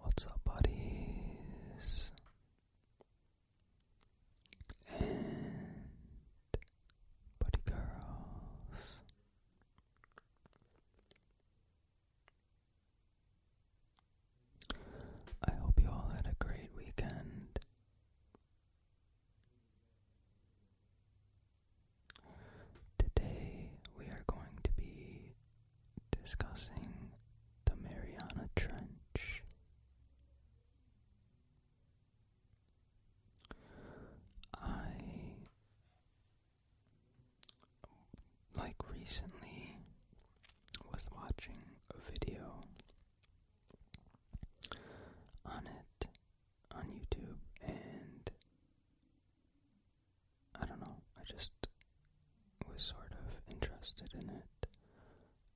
What's up, buddies? And buddy girls. I hope you all had a great weekend. Today we are going to be discussing the Mariana Trench. I like recently was watching a video on it on YouTube and I don't know, I just was sort of interested in it.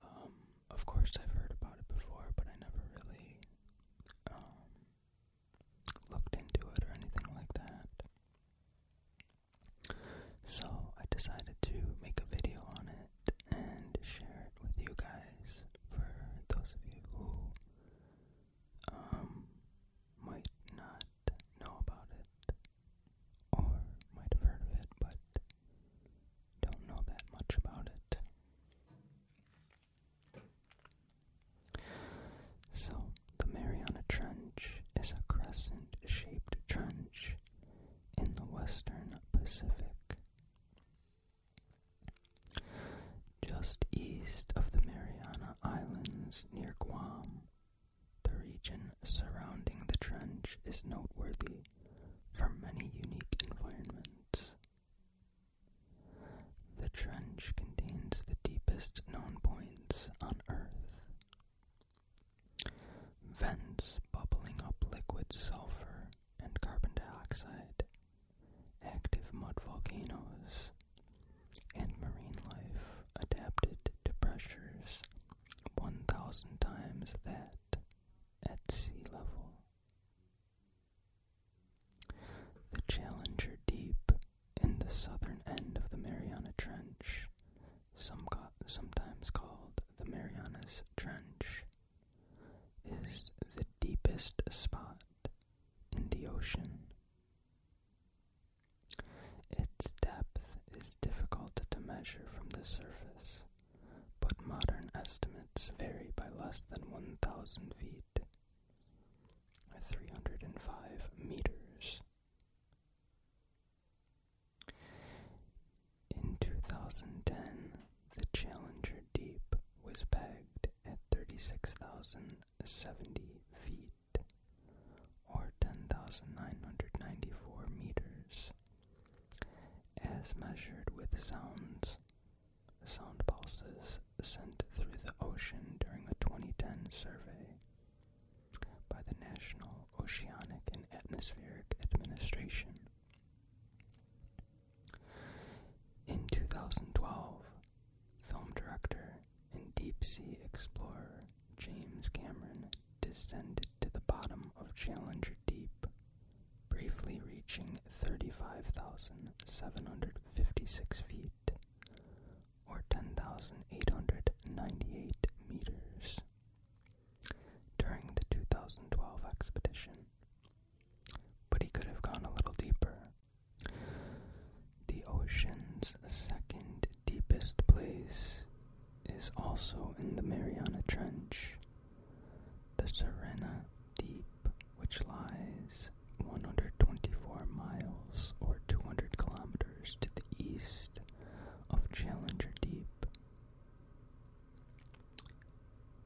Um, of course, I've heard about it before, but I never really um, looked into it or anything like that. So I decided to make a video on it and share it with you guys for those of you who um, might not know about it or might have heard of it but don't know that much about it. So, the Mariana Trench is a crescent shaped trench in the western Pacific. Just east of the Mariana Islands near Guam. The region surrounding the trench is noteworthy for many unique environments. The trench contains the deepest known points on Earth. Vents bubbling up liquid sulfur and carbon dioxide, active mud volcanoes, and marine life adapted to pressures 1,000 times that at sea level. The Challenger Deep in the southern end of the Mariana Trench, sometimes called the Marianas Trench, is the deepest spot in the ocean. Its depth is difficult to measure from the surface, but modern estimates vary by less than 1,000 feet, 305 meters. In 2010, the Challenger Deep was pegged at 36,070 feet or 10,994 meters, as measured with sounds, sound pulses sent through the ocean during a 2010 survey by the National Oceanic and Atmospheric Administration. In 2012, film director and deep sea explorer James Cameron descended to the bottom of Challenger Deep, briefly reaching 35,756 feet, or 10,898 meters. During the 2012 expedition, but he could have gone a little deeper the ocean's second deepest place is also in the Mariana Trench, the Serena Deep, which lies 124 miles or 200 kilometers to the east of Challenger Deep,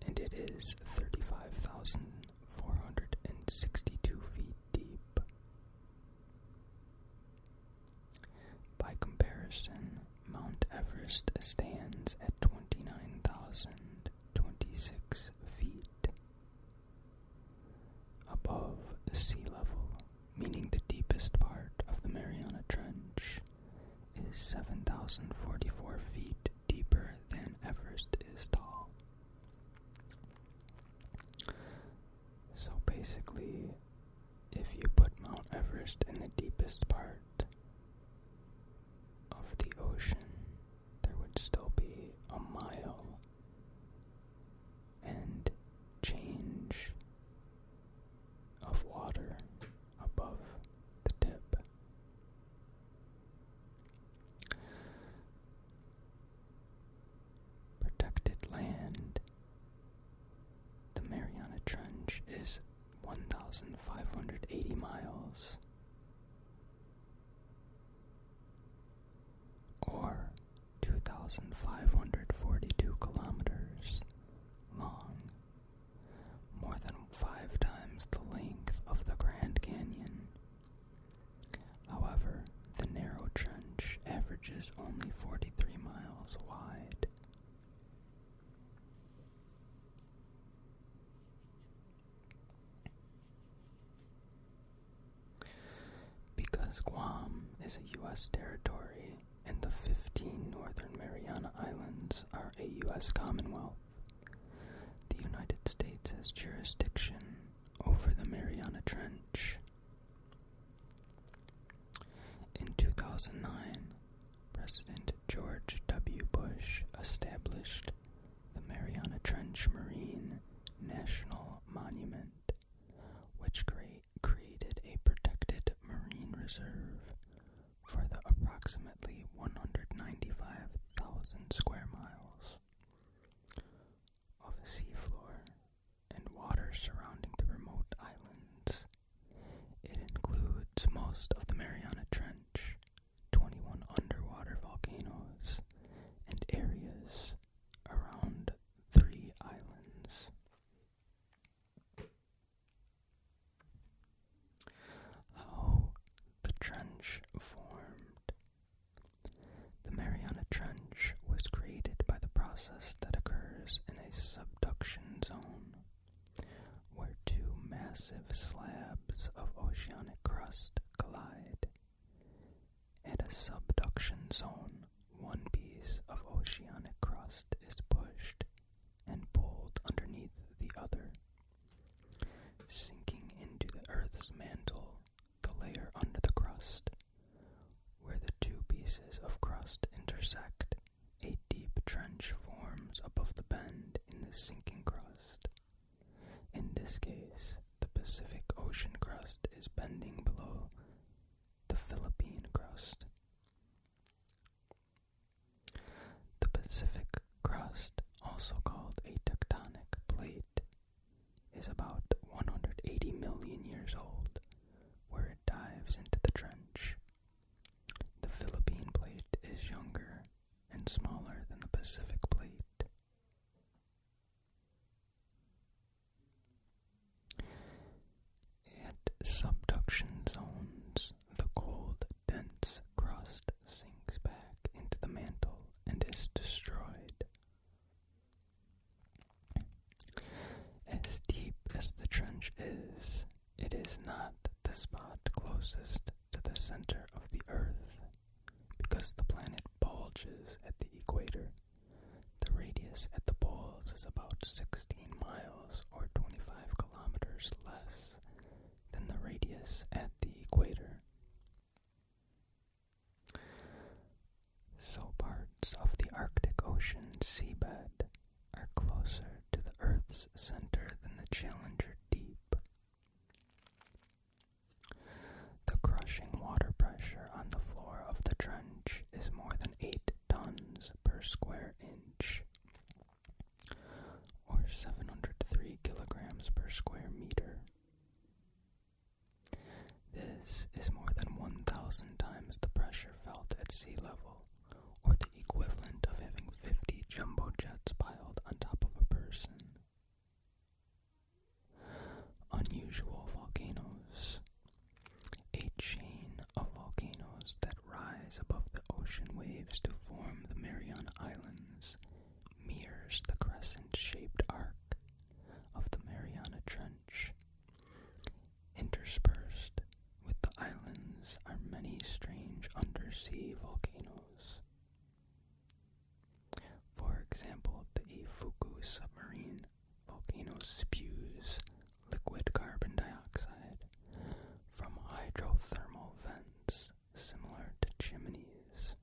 and it is 35,462 feet deep. By comparison, Mount Everest stands at 29,026 feet above sea level, meaning the deepest part of the Mariana Trench is 7,044 feet deeper than Everest is tall. So basically, if you put Mount Everest in the deepest part of the ocean, there would still be a mile and change of water above the tip protected land. The Mariana Trench is 1,580 miles, or 2,542 kilometers long, more than five times the length of the Grand Canyon However, the narrow trench averages only 43 miles wide. Because Guam is a U.S. territory and the 15 Northern Mariana Islands are a U.S. Commonwealth, the United States has jurisdiction over the Mariana Trench in 2009, President George W. Bush established the Mariana Trench Marine National Monument, which created a protected marine reserve for the approximately 195,000 square miles of the seafloor and water surrounding the remote islands. It includes most of the Mariana Trench, 21 underwater volcanoes, and areas around three islands. How the trench formed. The Mariana Trench was created by the process that occurs in a subduction zone, where two massive slabs of oceanic crust collide. At a subduction zone, one piece of oceanic crust is pushed and pulled underneath the other, sinking into the Earth's mantle the layer under the crust. Where the two pieces of crust intersect, a deep trench forms above the bend in the sinking crust. In this case, the Pacific Ocean crust is bending below the Philippine crust. The Pacific crust, also called a tectonic plate, is about 180 million years old, where it dives into the trench. The Philippine plate is younger and smaller than the Pacific plate. At subduction zones, the cold, dense crust sinks back into the mantle and is destroyed. As deep as the trench is, it is not the spot closest to the center of the Earth, because the planet bulges at the equator. The radius at the poles is about 16 miles or 25 kilometers less than the radius at the equator. So parts of the Arctic Ocean seabed are closer to the Earth's center than the Challenger Deep. The crushing water pressure on the floor of the trench is more than 8 tons per square inch, or 703 kilograms per square meter. This is more than 1,000 times the pressure felt at sea level, or the equivalent of having 50 jumbo jets piled on top of a person. Unusual volcanoes. A chain of volcanoes that rise above the ocean waves to form the Mariana Islands mirrors the crescent shaped arc of the Mariana Trench Interspersed with the islands are many strange undersea volcanoes. For example, the Ifuku submarine volcano spews liquid carbon dioxide from hydrothermal vents similar to chimneys.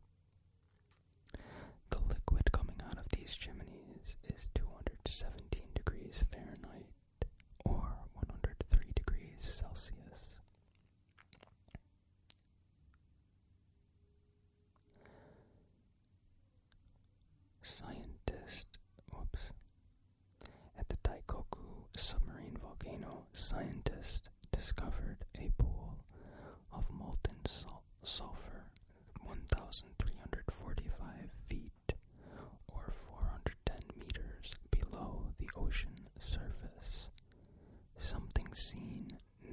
The liquid coming out of these chimneys is 217 degrees Fahrenheit or 103 degrees Celsius. Scientist, whoops. At the Taikoku submarine volcano, scientists discovered a pool of molten sulfur 1,345 feet or 410 meters below the ocean surface. Something seen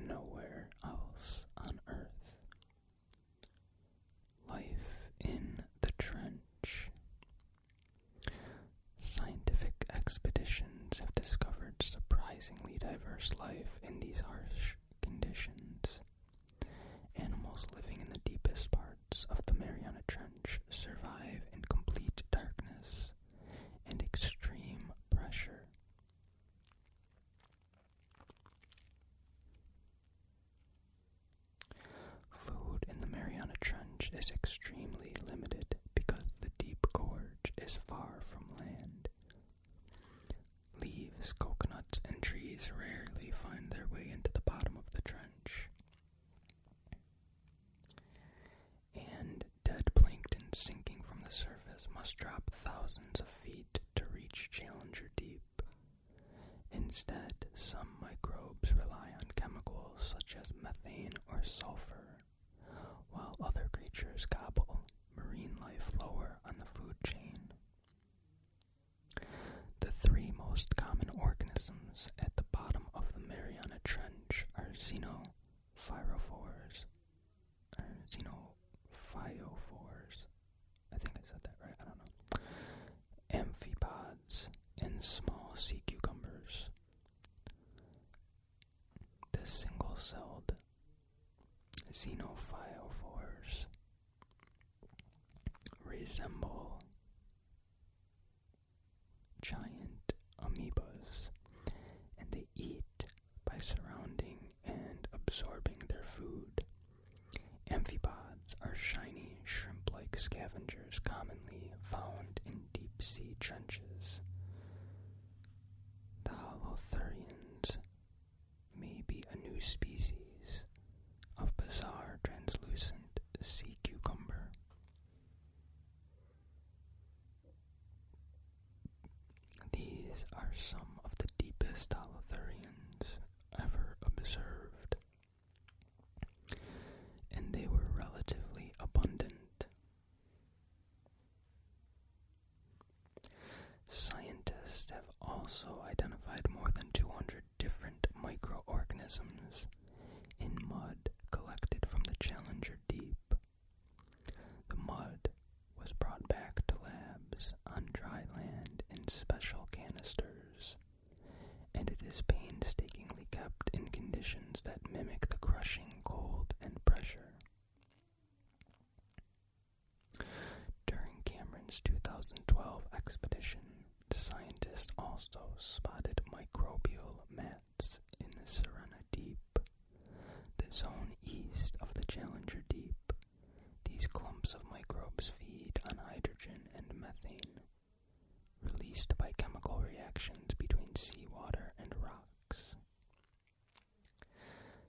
nowhere else on Earth. Life in the Trench. Scientific expeditions have discovered surprisingly diverse life in these harsh conditions. Animals living in the deepest parts of the Mariana Trench survive in complete darkness and extreme pressure. Food in the Mariana Trench is extremely limited because the deep gorge is far from land, Leaves, coconuts, and trees rarely find their way into the bottom of the trench. And dead plankton sinking from the surface must drop thousands of feet to reach Challenger Deep. Instead, some microbes rely on chemicals such as methane or sulfur, while other creatures gobble marine life lower on the food chain. The three most common organisms at the bottom of the Mariana Trench are xenophyophores, xenophyophores, I think I said that right, I don't know, amphipods, and small sea cucumbers. The single-celled Xenophyophores resemble giant amoebas, and they eat by surrounding and absorbing their food. Amphipods are shiny, shrimp like scavengers commonly found in deep sea trenches. The holothurians may a new species of bizarre translucent sea cucumber. These are some of the deepest holothurians ever observed, and they were relatively abundant. Scientists have also identified more than 200 different microorganisms in mud collected from the Challenger Deep. The mud was brought back to labs on dry land in special canisters, and it is painstakingly kept in conditions that mimic the crushing cold and pressure. During Cameron's 2012 expedition, scientists also spotted microbial mats in the Serena Deep, the zone east of the Challenger Deep. These clumps of microbes feed on hydrogen and methane, released by chemical reactions between seawater and rocks.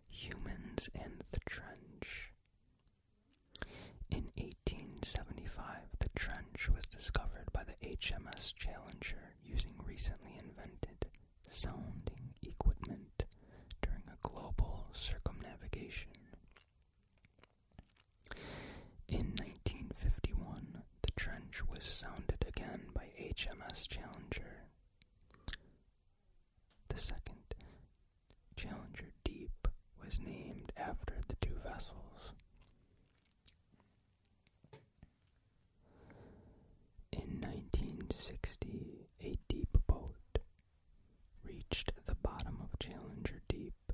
Humans and the Trench. In 1875, the trench was discovered by the HMS Challenger using recently invented sounding equipment during a global circumnavigation. In 1951, the trench was sounded again by HMS Challenger. The second Challenger Deep was named after the two vessels. In 1960, a deep boat reached the bottom of Challenger Deep.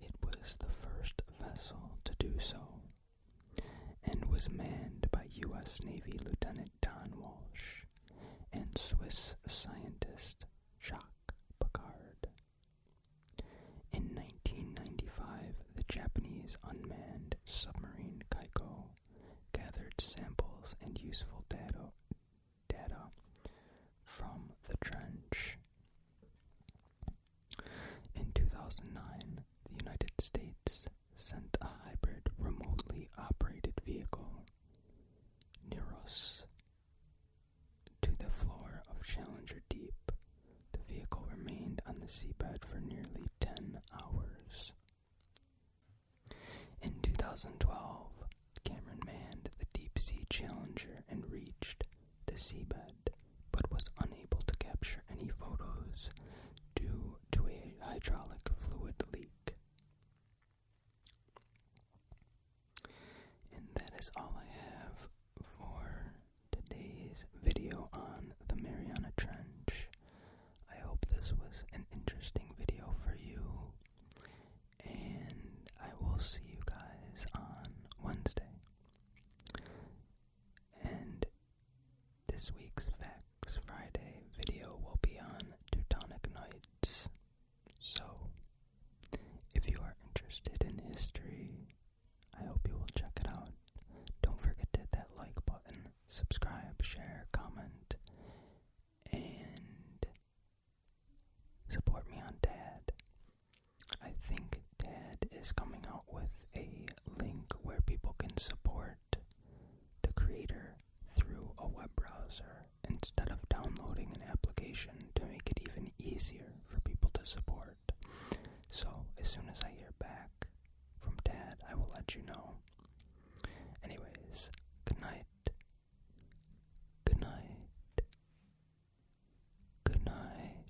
It was the first vessel to do so and was manned by U.S. Navy Lieutenant Don Walsh and Swiss scientist Jacques Piccard. In 1995, the Japanese unmanned submarine Kaiko gathered samples and useful data, data from the trench. In 2009, the United States sent a hybrid remotely operated vehicle Neuros to the floor of Challenger Deep. The vehicle remained on the seabed for nearly 10 hours. In 2012, Cameron manned the Deep Sea Challenger and reached the seabed, but was unable to capture any photos due to a hydraulic fluid leak. And that is all I have for today's video on the Mariana Trench. I hope this was an interesting video for you, and I will see you guys on Wednesday. And this week's fact next Friday video will be on Teutonic Knights. So, if you are interested in history, I hope you will check it out. Don't forget to hit that like button, subscribe, share, comment, and support me on Dad. I think Dad is coming out with a link where people can support the creator through a web browser instead of downloading an application to make it even easier for people to support. So, as soon as I hear back from Dad, I will let you know. Anyways, good night. Good night. Good night.